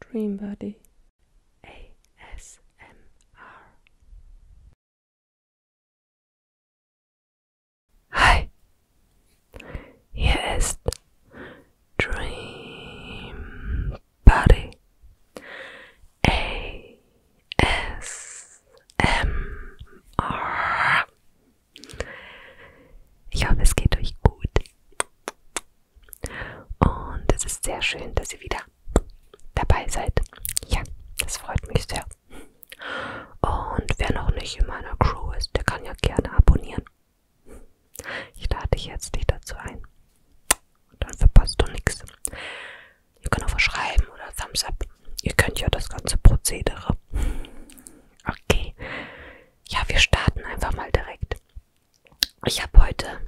Dream buddy, ASMR. Hi, hier Dream buddy, ASMR. Ich hoffe, es geht euch gut. Und es ist sehr schön, dass ihr wieder dabei seid. Ja, das freut mich sehr. Und wer noch nicht in meiner Crew ist, der kann ja gerne abonnieren. Ich lade dich herzlich dazu ein. Und dann verpasst du nichts. Ihr könnt auch was schreiben oder Thumbs up. Ihr könnt ja das ganze Prozedere. Okay. Ja, wir starten einfach mal direkt. Ich habe heute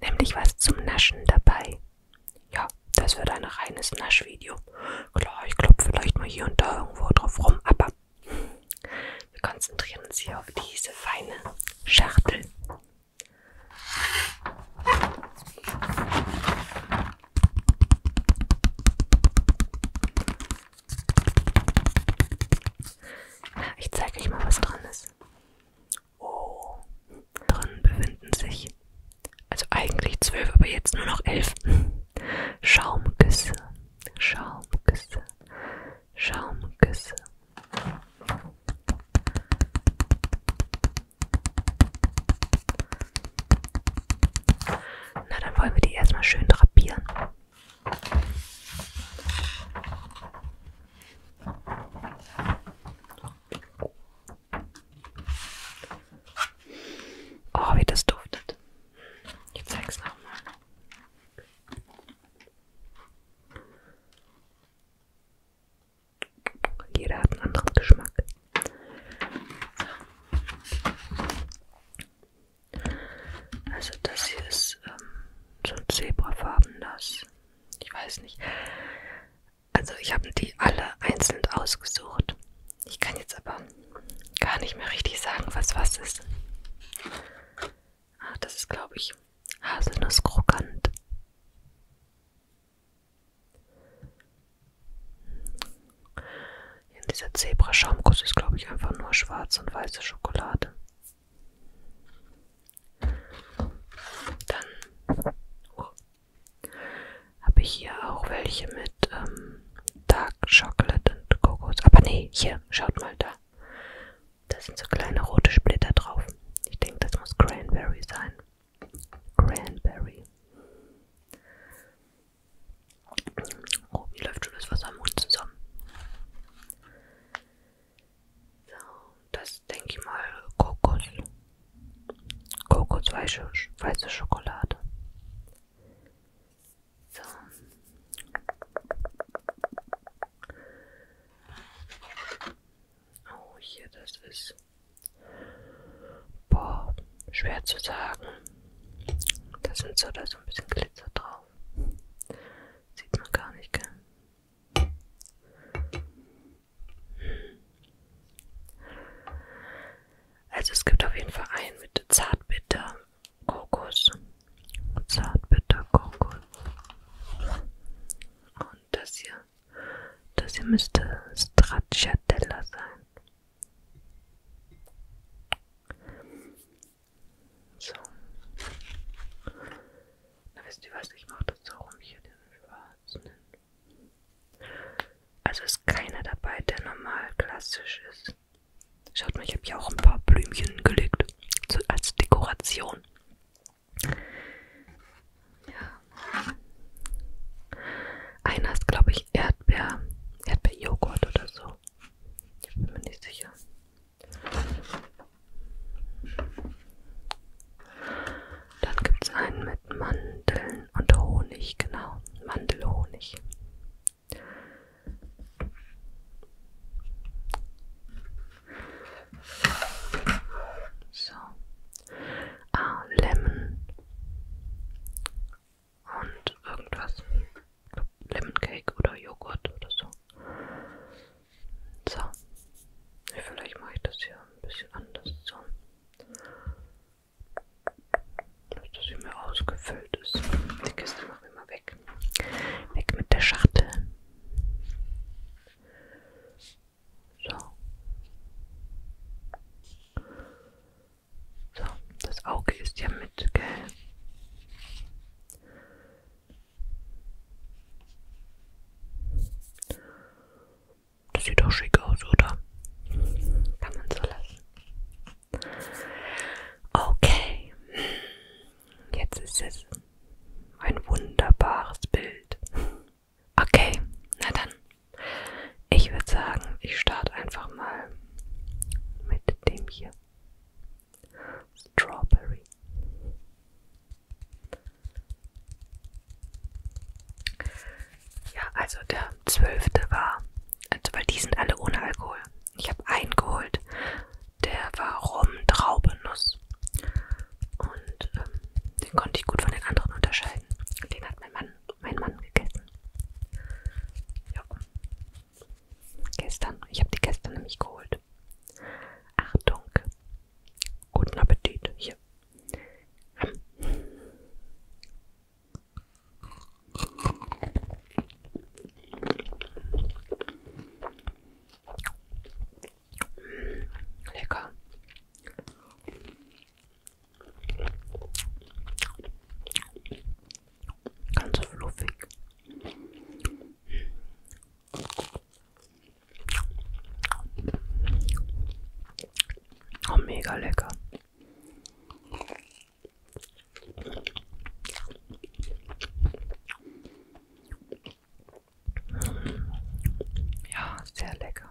nämlich was zum Naschen dabei. Ja, das wird ein reines Naschvideo. Klar, ich klopfe vielleicht mal hier und da irgendwo drauf rum, aber wir konzentrieren uns hier auf diese feine Schachtel. Ich zeige euch mal, was drin ist. Oh, drin befinden sich, also eigentlich zwölf, aber jetzt nur noch elf Schaumküsse, Schaumküsse, Schaumküsse. Na, dann wollen wir die erstmal schön drapieren. Oh, wie das duftet. Ich zeig's nochmal. Jeder hat einen anderen Geschmack. So. Also das hier ist ähm, so zebrafarbenes. Ich weiß nicht. Also ich habe die alle einzeln ausgesucht. Ich kann jetzt aber gar nicht mehr richtig sagen, was was ist. Ah, das ist glaube ich Haselnuss krokant. Ja, dieser Zebra-Schaumkuss ist, glaube ich, einfach nur schwarze und weiße Schokolade. Dann oh, habe ich hier auch welche mit ähm, Dark Chocolate und Kokos. Aber nee, hier, schaut mal da. Da sind so kleine rote Splitter drauf. Ich denke, das muss Cranberry sein. Cranberry. Oh, mir läuft schon das Wasser im Mund zusammen. So, das denke ich mal Kokos. Kokos weiße, weiße Schokolade. So. Oh, hier, das ist. Boah, schwer zu sagen. Da sind so da so ein bisschen Glitzer drauf. Sieht man gar nicht, gell? Also es gibt auf jeden Fall einen mit Zartbitter Kokos. Zartbitter Kokos. Und das hier. Das hier müsste Stracciatella sein. So. Na wisst ihr was, ich mache das so rum hier, den schwarzen. Also ist keiner dabei, der normal klassisch ist. Schaut mal, ich habe hier auch ein paar Blümchen gelegt. So als Dekoration. Ja. Einer ist, glaube ich, eher Erdbeer, Erdbeerjoghurt oder so. Ich bin mir nicht sicher. Dann gibt es einen mit Mandeln und Honig, genau. Mandelhonig. So. Ah, Lemon und irgendwas. Lemon Cake oder Joghurt oder so. So. Vielleicht mache ich das hier ein bisschen anders. So. Dass das hier mehr ausgefüllt ist. Die Kiste machen wir mal weg. Weg mit der Schachtel. So. So, das Auge ist ja mit, gell? Das sieht doch schick aus, oder? Kann man so lassen. Okay. Jetzt ist es ein wunderbares Bild. Okay, na dann ich würde sagen, ich starte einfach mal mit dem hier. Strawberry. Ja, also der zwölfte war, also weil die sind alle ohne Alkohol. Ich habe einen geholt, der war Rum Traubenuss. Und ähm, den konnte ich gut von den anderen unterscheiden. Den hat mein Mann mein Mann gegessen. Ja. Gestern. Ich habe die gestern nämlich geholt. Achtung. Guten Appetit. Hier. Hm. Lecker. Ganz fluffig. Oh, mega lecker. Ja, sehr lecker.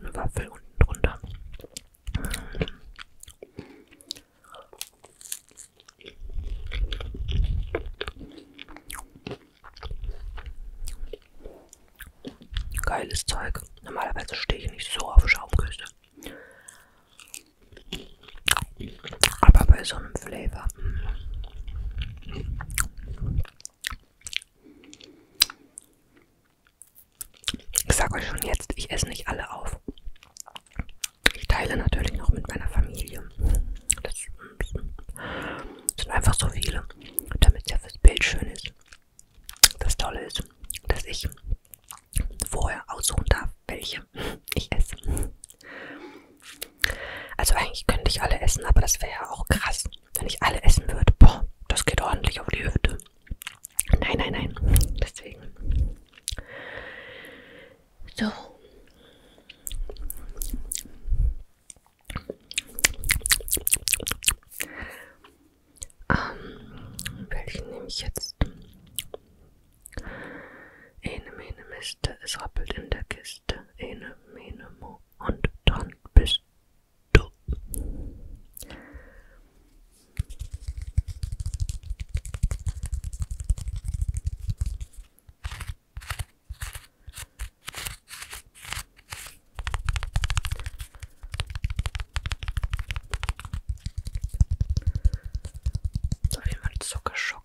Und Waffel unten drunter. Geiles Zeug. Normalerweise stehe ich nicht so auf Schaumküsse. Aber bei so einem Flavor. Hm. Ich sage euch schon jetzt, ich esse nicht alle auf. Ich teile natürlich noch mit meiner Familie. Das sind einfach so viele, damit es ja fürs Bild schön ist. Das Tolle ist, dass ich vorher aussuchen darf, welche ich esse. Also eigentlich könnte ich alle essen, aber das wäre ja auch krass, wenn ich alle essen würde. Boah, das geht ordentlich auf die Hüfte. Nein, nein, nein. Deswegen. So. Ähm, welchen nehme ich jetzt? Ene, mene, Mist, es rappelt in der Kiste ist Ene, Mene, Mo und dann bist du. Auf jeden Fall Zuckerschock.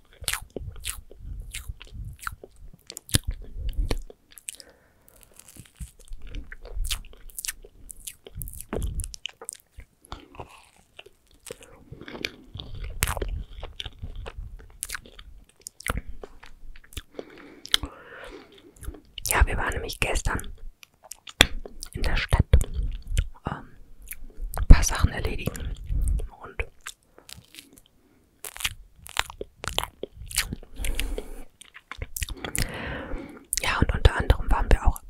Ja, wir waren nämlich gestern in der Stadt ähm, ein paar Sachen erledigen und ja, und unter anderem waren wir auch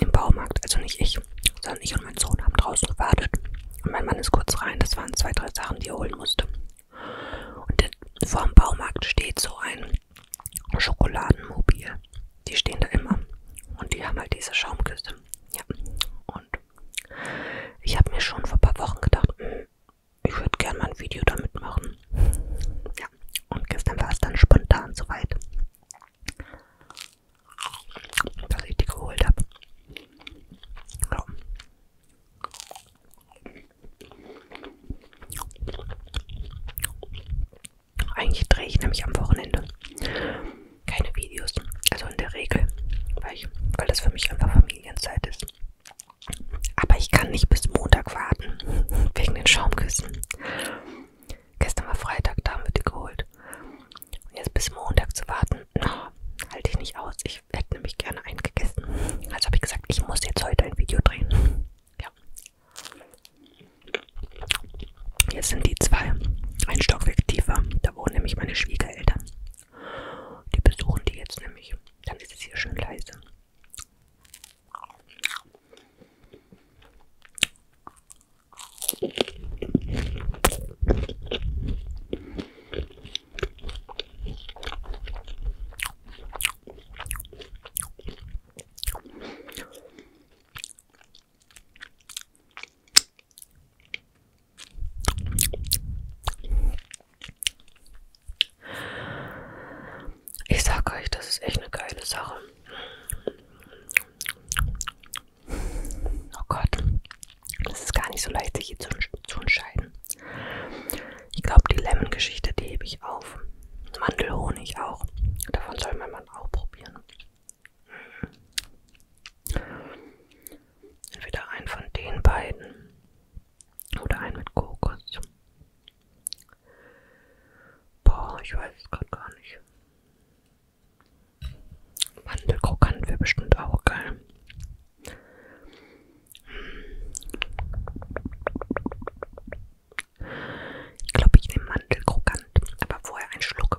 im Baumarkt, also nicht ich, sondern ich und mein Sohn haben draußen gewartet. Und mein Mann ist kurz rein, das waren zwei, drei Sachen, die er holen musste. Und vor dem Baumarkt steht so ein Schokoladenmobil. Die stehen da immer. Und die haben halt diese Schaumküsse. Ja. Und ich habe mir schon vor ein paar Wochen gedacht, hm, ich würde gerne mal ein Video damit machen. Ja, und gestern war es dann spontan soweit, dass ich die geholt habe. So. Eigentlich drehe ich nämlich am Wochenende keine Videos. Also in der Regel, weil, ich, weil das für mich einfach Familienzeit ist. Aber ich kann nicht bis Montag warten, wegen den Schaumküssen. Gestern war Freitag, da haben wir die geholt. Und jetzt bis Montag zu warten, no, halte ich nicht aus. Ich hätte nämlich gerne einen gegessen. Also habe ich gesagt, ich muss jetzt heute ein Video drehen. Ja. Jetzt sind die zwei ein Stockwerk tiefer. Da wohnen nämlich meine Schwiegereltern. Die besuchen die jetzt nämlich. Dann ist es hier schön leise. Ich sag euch, das ist echt eine geile Sache. Oh Gott, das ist gar nicht so leicht, sich hier zu, zu entscheiden. Ich glaube, die Lemon-Geschichte, die hebe ich auf. Mandelhonig auch. Davon soll mein Mann auch probieren. Entweder ein von den beiden oder ein mit Kokos. Boah, ich weiß es gerade gar nicht. Mandelkrokant wäre bestimmt auch geil. Ich glaube, ich nehme Mandelkrokant, aber vorher ein Schluck.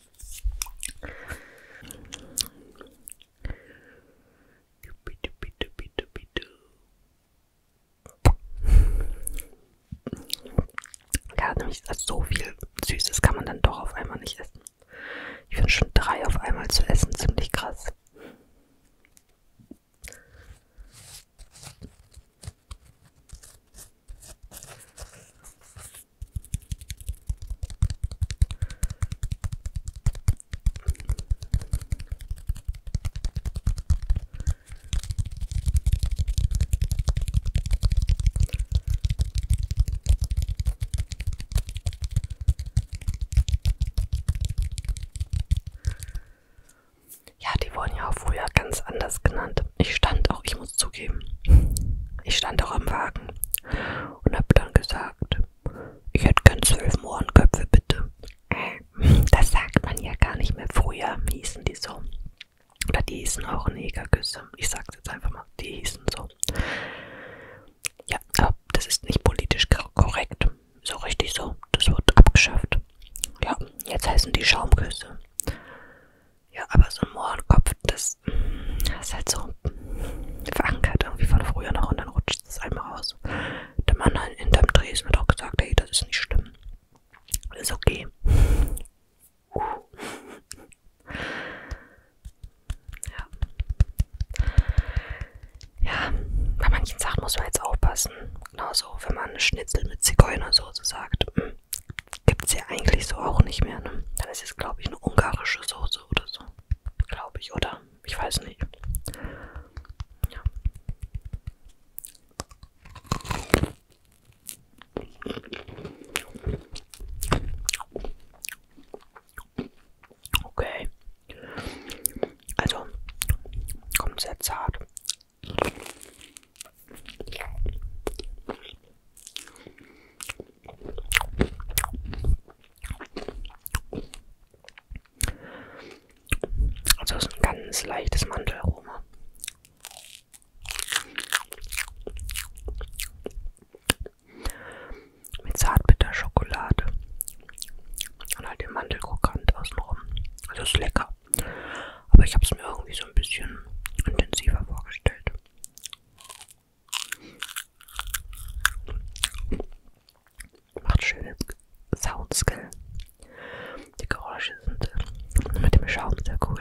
Bitte, bitte, bitte, bitte. Ja, nämlich so viel Süßes kann man dann doch auf einmal nicht essen. Ich finde schon drei auf einmal zu essen ziemlich krass. Ja, die wurden ja auch früher ganz anders genannt. Ich stand auch, ich muss zugeben, ich stand auch am Wagen und habe dann gesagt, ich hätte gern zwölf Mohrenköpfe, bitte. Das sagt man ja gar nicht mehr. Früher hießen die so. Oder die hießen auch Negergüsse. Ich sag's jetzt einfach mal, die hießen so. Ja, aber das ist nicht politisch korrekt. So richtig so. Das wird abgeschafft. Ja, jetzt heißen die Schaumküsse. Ja, aber so ein Mohrenkopf, das, mm, das ist halt so verankert irgendwie von früher noch und dann rutscht es einmal raus. Der Mann hinterm Dreh ist mir doch gesagt, hey, das ist nicht schlimm. Das ist okay. Uh. Ja. ja, bei manchen Sachen muss man jetzt aufpassen. Genauso, wenn man Schnitzel mit Zigeunersoße sagt. Mh. Mm, Gibt's ja eigentlich so auch nicht mehr, ne? Dann ist jetzt, glaube ich, eine ungarische Soße oder so. Glaube ich, oder? Ich weiß nicht. Ja. Okay. Also, kommt sehr zart. Also ist ein ganz leichtes Mandelaroma. Mit zartbitter Schokolade. Und halt den Mandelkrokant außenrum. Also ist lecker. Aber ich habe es mir irgendwie so ein bisschen intensiver vorgestellt. Macht schöne Sounds, gell? Die Geräusche sind äh, mit dem Schaum sehr cool.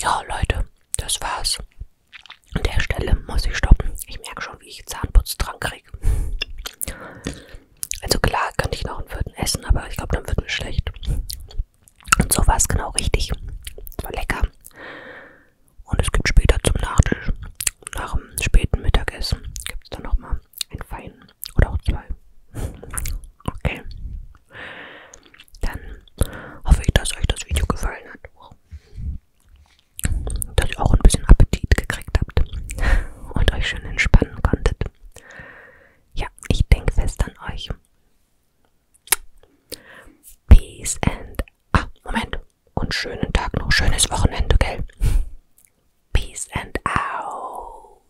Ja, Leute, das war's. An der Stelle muss ich stoppen. Ich merke schon, wie ich Zahnputz dran kriege. Also klar, könnte ich noch einen Würden essen, aber ich glaube, dann wird mir schlecht. Und so war es genau richtig. Es war lecker. Und es gibt später zum Nachtisch, nach dem späten Mittagessen, gibt es dann nochmal einen feinen oder auch zwei. Okay. Dann hoffe ich, dass euch das Video gefallen hat. Dass ihr auch ein bisschen Appetit gekriegt habt und euch schön entspannen konntet. Ja, ich denke fest an euch. Peace and. Ah, Moment. Und schönen Tag noch. Schönes Wochenende, gell? Peace and out.